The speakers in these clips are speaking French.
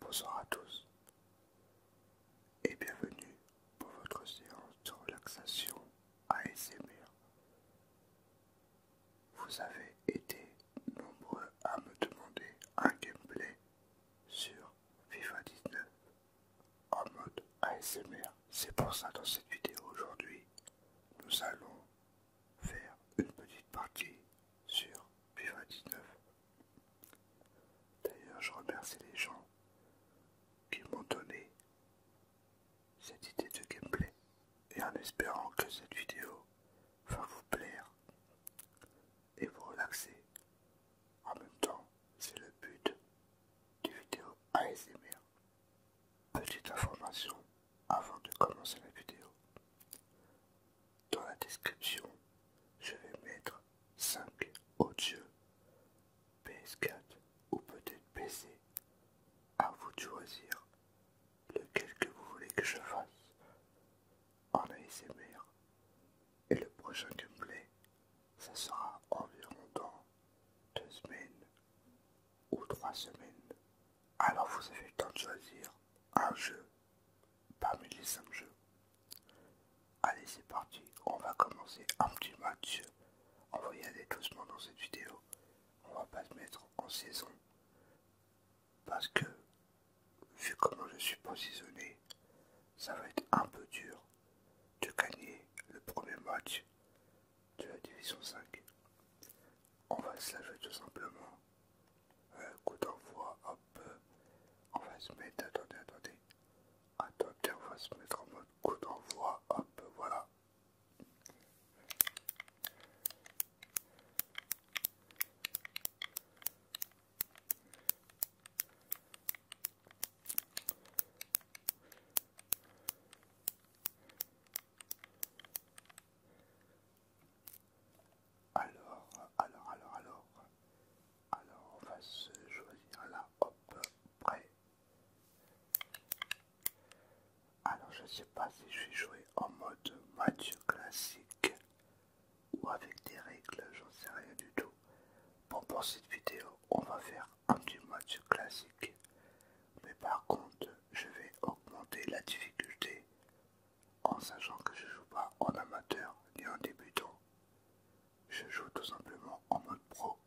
Bonsoir à tous et bienvenue pour votre séance de relaxation ASMR. Vous avez été nombreux à me demander un gameplay sur FIFA 19 en mode ASMR. C'est pour ça dans cette vidéo aujourd'hui, nous allons faire une petite partie sur FIFA 19 D'ailleurs, je remercie les gens qui m'ont donné cette idée de gameplay et en espérant que cette vidéo va vous plaire et vous relaxer. En même temps, c'est le but des vidéo ASMR. Petite information avant de commencer la vidéo. Dans la description, je vais mettre 5 autres jeux PS4 ou peut-être PC. À vous de choisir lequel que vous voulez que je fasse en ASMR. Et le prochain gameplay, ça sera environ dans 2 semaines ou 3 semaines. Alors vous avez le temps de choisir un jeu parmi les 5 jeux. Allez, c'est parti, on va commencer un petit match. On va y aller doucement dans cette vidéo. On va pas se mettre en saison. Parce que, vu comment je suis positionné, ça va être un peu dur de gagner le premier match de la division 5. On va se la tout simplement coup d'envoi, hop. On va se mettre, attendez, attendez. Attendez, on va se mettre en mode coup d'envoi, hop, voilà. Alors, alors, alors, alors. Alors, on va se choisir là, hop, prêt. Alors, je ne sais pas si je vais jouer en mode match classique ou avec des règles, j'en sais rien du tout. Bon, pour cette vidéo, on va faire un petit match classique. Mais par contre, je vais augmenter la difficulté en sachant que je joue pas en amateur ni en débutant. Je joue tout simplement en mode pro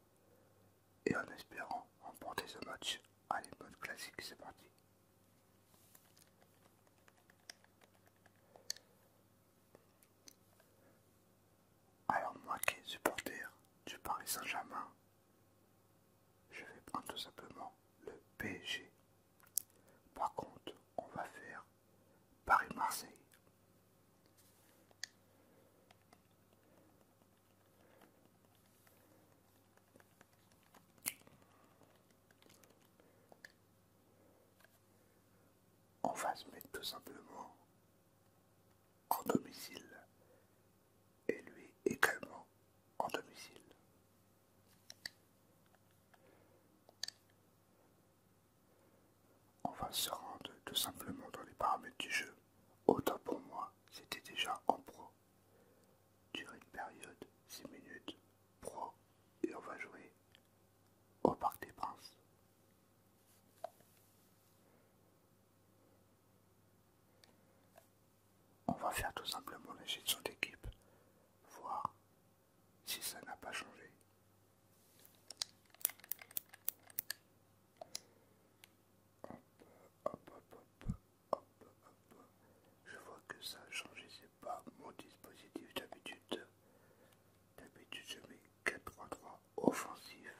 et en espérant remporter ce match. à mode classique, c'est parti. Alors moi qui est supporter du Paris Saint-Germain, je vais prendre tout simplement le P.G. Par contre, on va faire Paris-Marseille. On va se mettre tout simplement en domicile et lui également en domicile. On va se rendre tout simplement dans les paramètres du jeu. Autant pour moi, c'était déjà en pro. Durée de période, 6 minutes, pro, et on va jouer au Parc des Princes. On va faire tout simplement la gestion d'équipe, voir si ça n'a pas changé. Hop, hop, hop, Je vois que ça a changé, c'est pas mon dispositif d'habitude. D'habitude, je mets 4-3 offensif.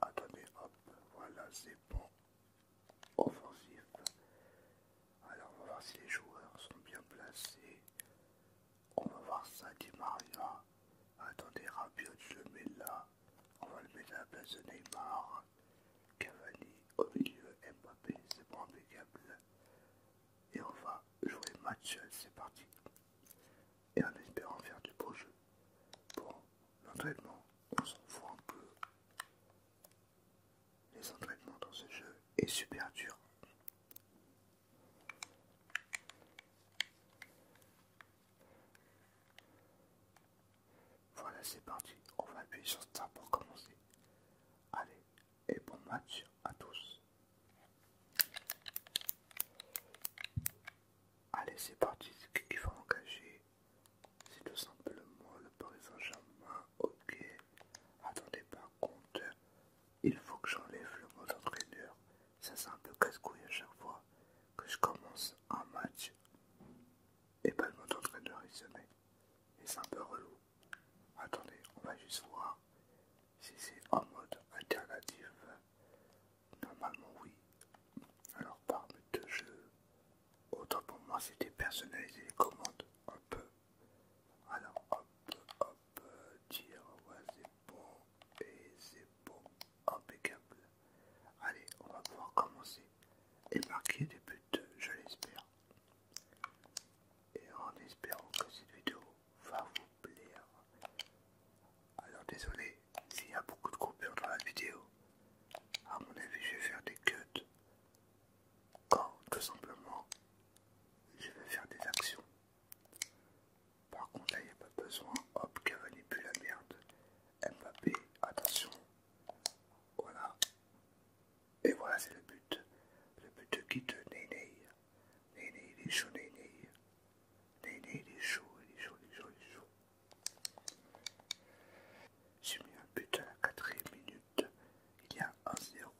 Attendez, hop, voilà, c'est bon. Offensif. Alors on va voir si les joueurs sont bien placés. On va voir ça, dit Maria. Attendez, Rabiot, je le mets là. On va le mettre à la place de Neymar. Cavani au milieu, Mbappé, c'est bon, impeccable. Et on va jouer match, c'est parti. Et en espérant faire du beau jeu. Bon, l'entraînement, on s'en fout un peu. Les entraînements dans ce jeu est super dur. Voilà, c'est parti. On va appuyer sur Star pour commencer. Allez, et bon match à tous. Allez, c'est parti. qu'il faut engager C'est tout simplement le Paris Saint-Germain. Ok. Attendez, par contre, il faut que j'enlève le mode entraîneur. Ça c'est un peu casse-couille à chaque fois que je commence un match et pas le mode entraîneur, il se met. Et c'est un peu relou. Attendez, on va juste voir si c'est en mode alternatif. Normalement oui. Alors parmi deux jeux, autant pour moi c'était personnaliser les commandes un peu alors hop, hop, tire, ouais c'est bon, et c'est bon, impeccable. Allez, on va pouvoir commencer et marquer des buts, je l'espère. Et en espérant que cette vidéo va vous plaire. Alors désolé s'il y a beaucoup de coupures dans la vidéo. À mon avis, je vais faire des cuts quand tout simplement je vais faire des actions. Par contre là il n'y a pas besoin, hop, plus la merde. Mbappé, attention. Voilà. Et voilà c'est le but. Le but de qui de Néné. il est chaud, né. Néné il est chaud, il J'ai mis un but à la quatrième minute. Il y a un zéro.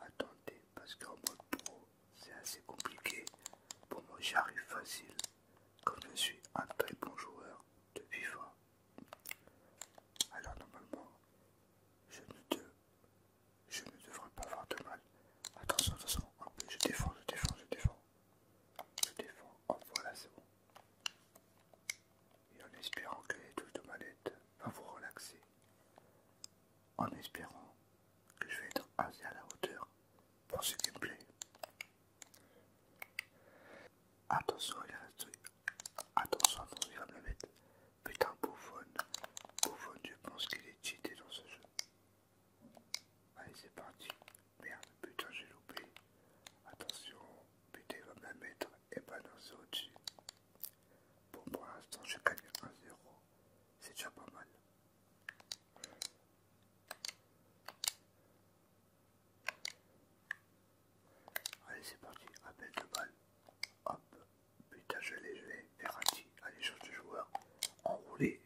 Attendez, parce qu'en mode pro, c'est assez compliqué. Pour moi, j'arrive facile. Comme je suis un très bon joueur de fois. Alors normalement, je ne, devrais pas avoir de mal. Attention, attention, Hop, je défends, je défends, je défends. Je défends, oh voilà, c'est bon et en espérant que les touches de manette va vous relaxer. En espérant que je vais être assez à la hauteur pour ce qui me plaît. Attention, il reste. Attention, attention, il va me le mettre. Putain, Bouffon. Bouffon, je pense qu'il est cheaté dans ce jeu. Allez, c'est parti. Merde, putain, j'ai loupé. Attention, putain, il va me la mettre et c'est au-dessus. Bon, pour l'instant, je gagne 1-0. C'est déjà pas mal. Allez, c'est parti. Appel de balle. Hop. Putain, je l'ai, je l'ai. Ferrati. Allez, change de joueur. Enroulé.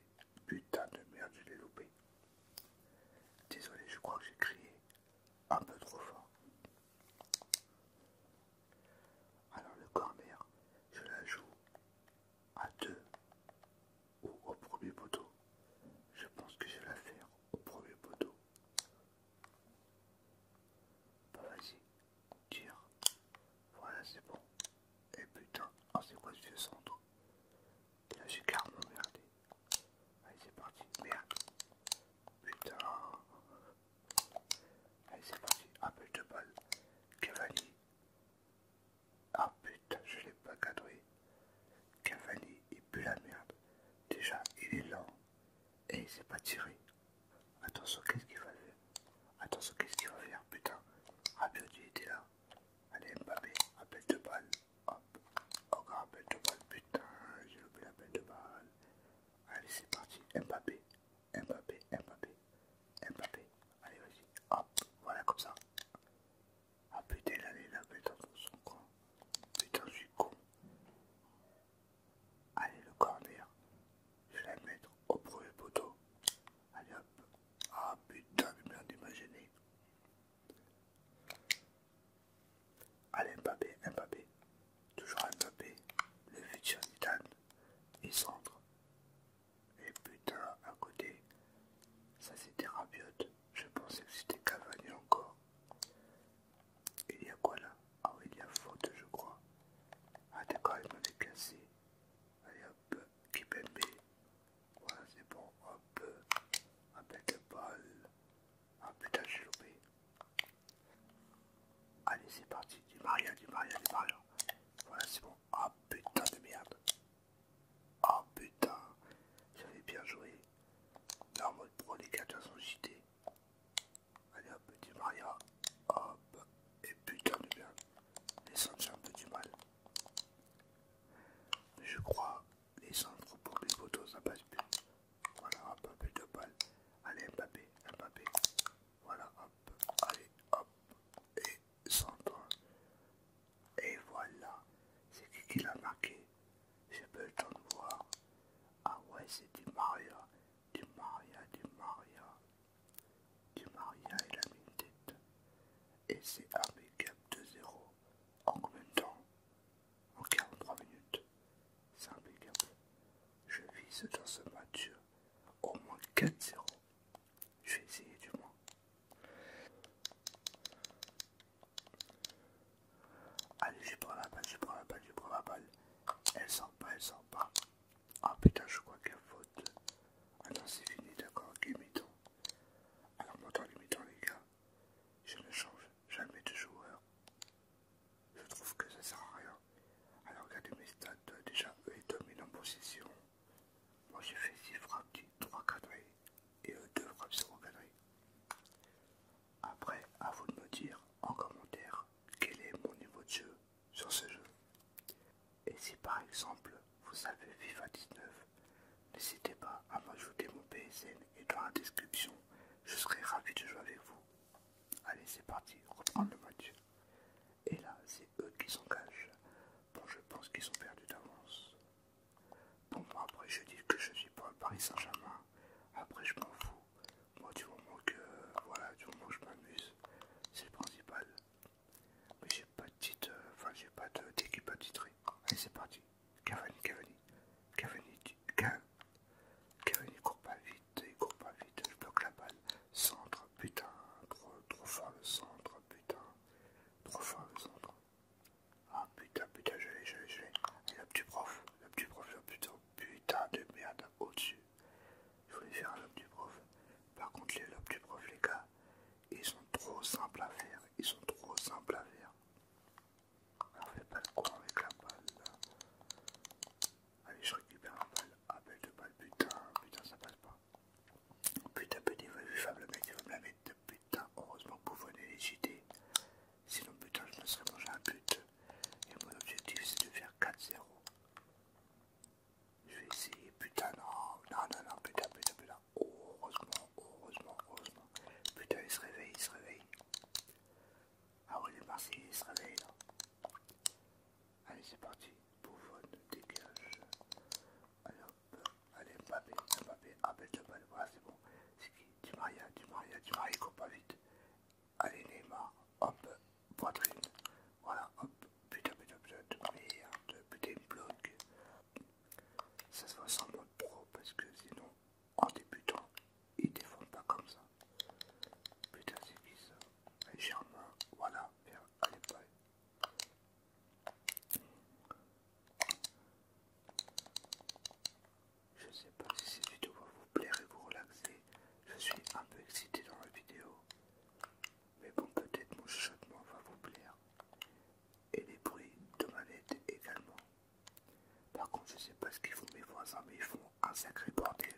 Putain de merde, je l'ai loupé. Désolé, je crois que j'ai crié un peu trop fort. Alors le corner, je la joue à deux ou au premier poteau. Je pense que je vais la faire au premier poteau. Bah vas-y, tire. Voilà, c'est bon. Et putain, ah, c'est quoi ce vieux centre Là j'ai carrément merdé. Allez, c'est parti. Merde. Putain. Allez, c'est parti. Appel de balle. Cavani Ah putain, je l'ai pas cadré. Cavani il pue la merde. Déjà, il est lent. Et il s'est pas tiré. Attention, qu'est-ce qu'il va faire Attention, qu'est-ce qu'il va faire Putain, ah putain il était là. Allez, Mbappé, appel de balle. Hop, encore appel de balle. Putain, j'ai loupé l'appel de balle. Allez, c'est parti. Mbappé, Mbappé, Mbappé, Mbappé. Allez, vas-y. Hop, voilà comme ça. Ah putain, là, la là, putain, son con. Putain, je suis con. Allez, le corner. Je vais la mettre au premier poteau. Allez, hop. Ah putain, mais merde, imaginé. Allez Mbappé, Mbappé, toujours Mbappé, le futur Zidane, il centre. Et putain, à côté, ça c'était Rabiot, je pensais que c'était cavalier encore. Il y a quoi là Ah oui, il y a faute, je crois. Ah d'accord, il m'avait cassé. Allez hop, Kipembe. Voilà, c'est bon, hop, avec le bal. Ah putain, j'ai loupé. Allez, c'est parti. Du maria, du maria, du maria, Voilà, c'est bon. Ah putain de merde. Ah putain. J'avais bien joué. normalement en mode les de sont JT. Allez, hop, du maria, Hop. Et putain de merde. Les ça un peu du mal. je crois les centres pour les photos, ça passe plus. Voilà, hop, plus de balles. Allez, Mbappé, Mbappé. Voilà, hop, allez, hop, et centre. Et voilà, c'est qui qui l'a marqué J'ai pas le temps de voir. Ah ouais, c'est du Maria, du Maria, du Maria. Du Maria, il a mis tête. Et c'est un make-up de 0 en combien de temps En 43 minutes. C'est impeccable. Je vise dans ce match au moins 4-0. Je vais essayer du moins. Allez, je prends la balle, je prends la balle, je prends la balle. Elle sort pas, elle sort pas. Ah oh, putain, je crois qu'il y a faute. Ah non, c'est fini, d'accord, ok, Alors, moi, les les gars, je me change jamais de joueur. Je trouve que ça sert à rien. Alors regardez mes stats, déjà eux ils dominent en position. Moi j'ai fait 6 frappes, 3 cadrées et euh, eux 2 frappes 0 cadrés. Après, à vous de me dire en commentaire quel est mon niveau de jeu sur ce jeu. Et si par exemple vous savez FIFA 19, n'hésitez pas à m'ajouter mon PSN et dans la description je serai ravi de jouer avec vous. Allez, c'est parti, reprendre le match. Et là, c'est eux qui s'engagent. Bon, je pense qu'ils ont perdu d'avance. Bon, moi, après, je dis que je suis pas Paris Saint-Germain. Après, je m'en fous. Moi, du moment que, voilà, du moment que je m'amuse, c'est le principal. Mais j'ai pas de titre, euh, enfin, j'ai pas d'équipe à titrer. Allez, c'est parti. Cavani, Cavani, Cavani, Cavani, Cavani court pas vite, il court pas vite, je bloque la balle, centre, putain, trop, trop fort le centre, putain, trop fort le centre. Ah putain, putain, je l'ai, je l'ai, je l'ai. Et le petit prof, le petit prof, le putain, putain de merde au-dessus. Je voulais faire un du prof. Par contre, les du prof, les gars, ils sont trop simples à faire. Ils sont trop simples à faire. On fait pas le courant avec la balle. Allez, je récupère la balle. Ah, belle de balle, putain, putain, ça passe pas. Putain, putain, va fable, mec, il va me la mettre. Putain, heureusement que vous venez les JD Sinon, putain, je me serais mangé un but. Et mon objectif, c'est de faire 4-0. Je vais essayer, putain, non, non, non, non, putain, putain, putain. heureusement, heureusement, heureusement. Putain, il se réveille, il se réveille. Ah ouais, les Marseillais se réveillent, là. Allez, c'est parti. Bouffon dégage. Allez allez Mbappé, Mbappé, appelle le Voilà, c'est bon. C'est qui Du Maria, du Maria, du pas vite. Allez Neymar, hop, poitrine. Voilà, hop, putain, putain, putain, merde, putain, Ça se voit sans mode pro parce que sinon en débutant, ils défendent pas comme ça. Putain, c'est bizarre. Et main, voilà, vers pailles Je sais pas si cette vidéo va vous plaire et vous relaxer. Je suis un peu excité dans la vidéo. Mais bon, peut-être mon chuchotement va vous plaire. Et les bruits de ma également. Par contre, je sais pas ce qu'ils font mes voisins, mais ils font un sacré bordel.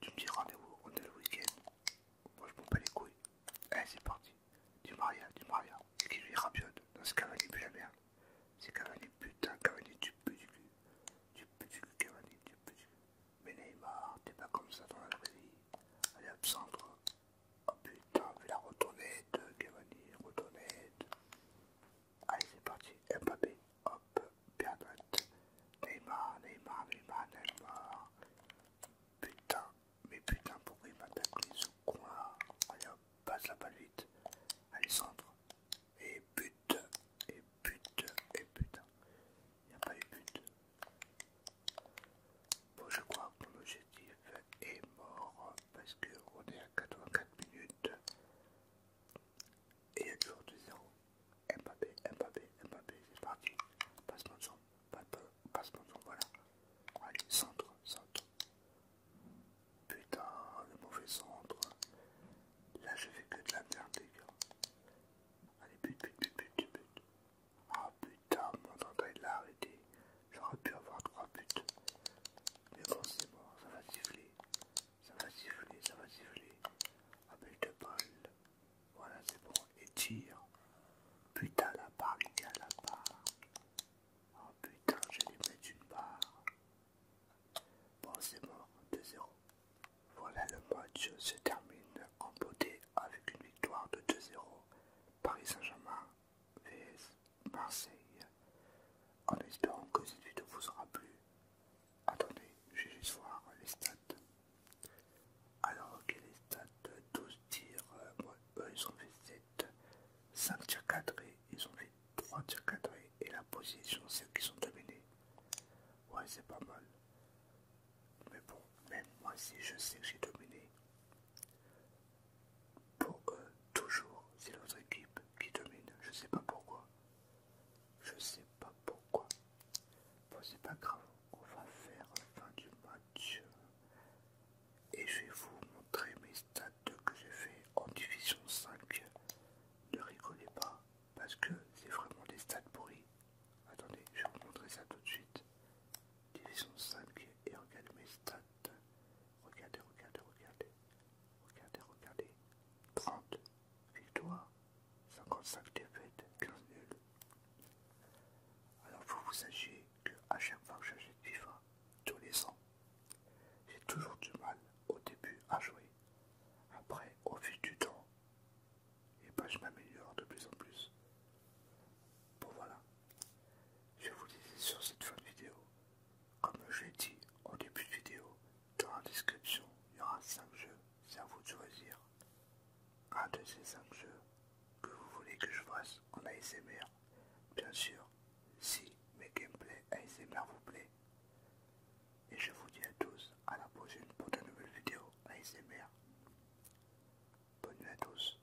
Tu me dis rendez-vous, on est le week-end. Moi, je m'en bats les couilles. Allez, eh, c'est parti. Du Maria, du Maria. C'est qui lui rabiote Dans ce Cavani, plus la merde. C'est Cavani, putain, Cavani, tu peux du cul. Tu peux du cul, Cavani, tu peux du cul. Mais Neymar, t'es pas comme ça dans la vraie vie. Elle est absente, Oh putain, fais la retournette, Cavani, retournette. Allez, c'est parti. Mbappé, hop, bien droite. Neymar, Neymar, Neymar, Neymar. Putain, mais putain, pourquoi il m'attaque les sous-coins, Allez hop, passe la balle vite. Allez, centre. Et but, et but, et putain. Il n'y a pas eu but. Bon, je crois que mon objectif est mort parce que on est à 84 minutes et il y a toujours 2-0. Mbappé, Mbappé, Mbappé, c'est parti. Passe mon son, passe mon son, voilà. Allez, centre, centre. Putain, le mauvais centre. Là, je fais que de la merde, les gars. Allez, but, but, but, but, but. Ah putain, mon il l'a arrêté. J'aurais pu avoir trois buts. Mais bon, c'est bon, ça va siffler. Ça va siffler, ça va siffler. but de bol, Voilà, c'est bon. Et tire. Putain, la barre, il y a la barre. Oh putain, lui mettre une barre. Bon, c'est bon, 2-0. Voilà, le match se termine en beauté avec une victoire de 2-0. Paris Saint-Germain VS Marseille, en espérant que cette vidéo vous aura plu. Attendez, je vais juste voir les stats. Alors, ok, les stats 12 euh, tirs, euh, ils ont fait 7, 5 tirs cadrés, ils ont fait 3 tirs cadrés, et la position c'est qu'ils ont sont dominés. Ouais, c'est pas mal. Mais bon, même moi si je sais que j'ai dominé, pour eux, toujours, c'est votre équipe qui domine. Je sais pas pourquoi. Je sais pas pourquoi. Bon, c'est pas grave. On va faire la fin du match. Et je vais vous montrer mes stats que j'ai fait en division 5. Ne rigolez pas, parce que c'est vraiment des stats pourris. Attendez, je vais vous montrer ça tout de suite. Division 5 et regardez mes stats. Regardez, regardez, regardez. Regardez, regardez. 30 victoires, 55 défaites, 15 nuls. Alors faut vous sachiez que à chaque fois que j'achète FIFA, tous les ans, j'ai toujours du mal au début à jouer. Après, au fil du temps, et pas je m'améliore de plus en plus. Bon voilà, je vous disais sur cette fin de vidéo, comme je l'ai dit au début de vidéo, dans la description, il y aura 5 jeux, c'est à vous de choisir un de ces 5 jeux que vous voulez que je fasse en ASMR. Bien sûr, si mes gameplays ASMR vous plaît. Et je vous dis à tous à la prochaine pour de nouvelles vidéos ASMR. Bonne nuit à tous.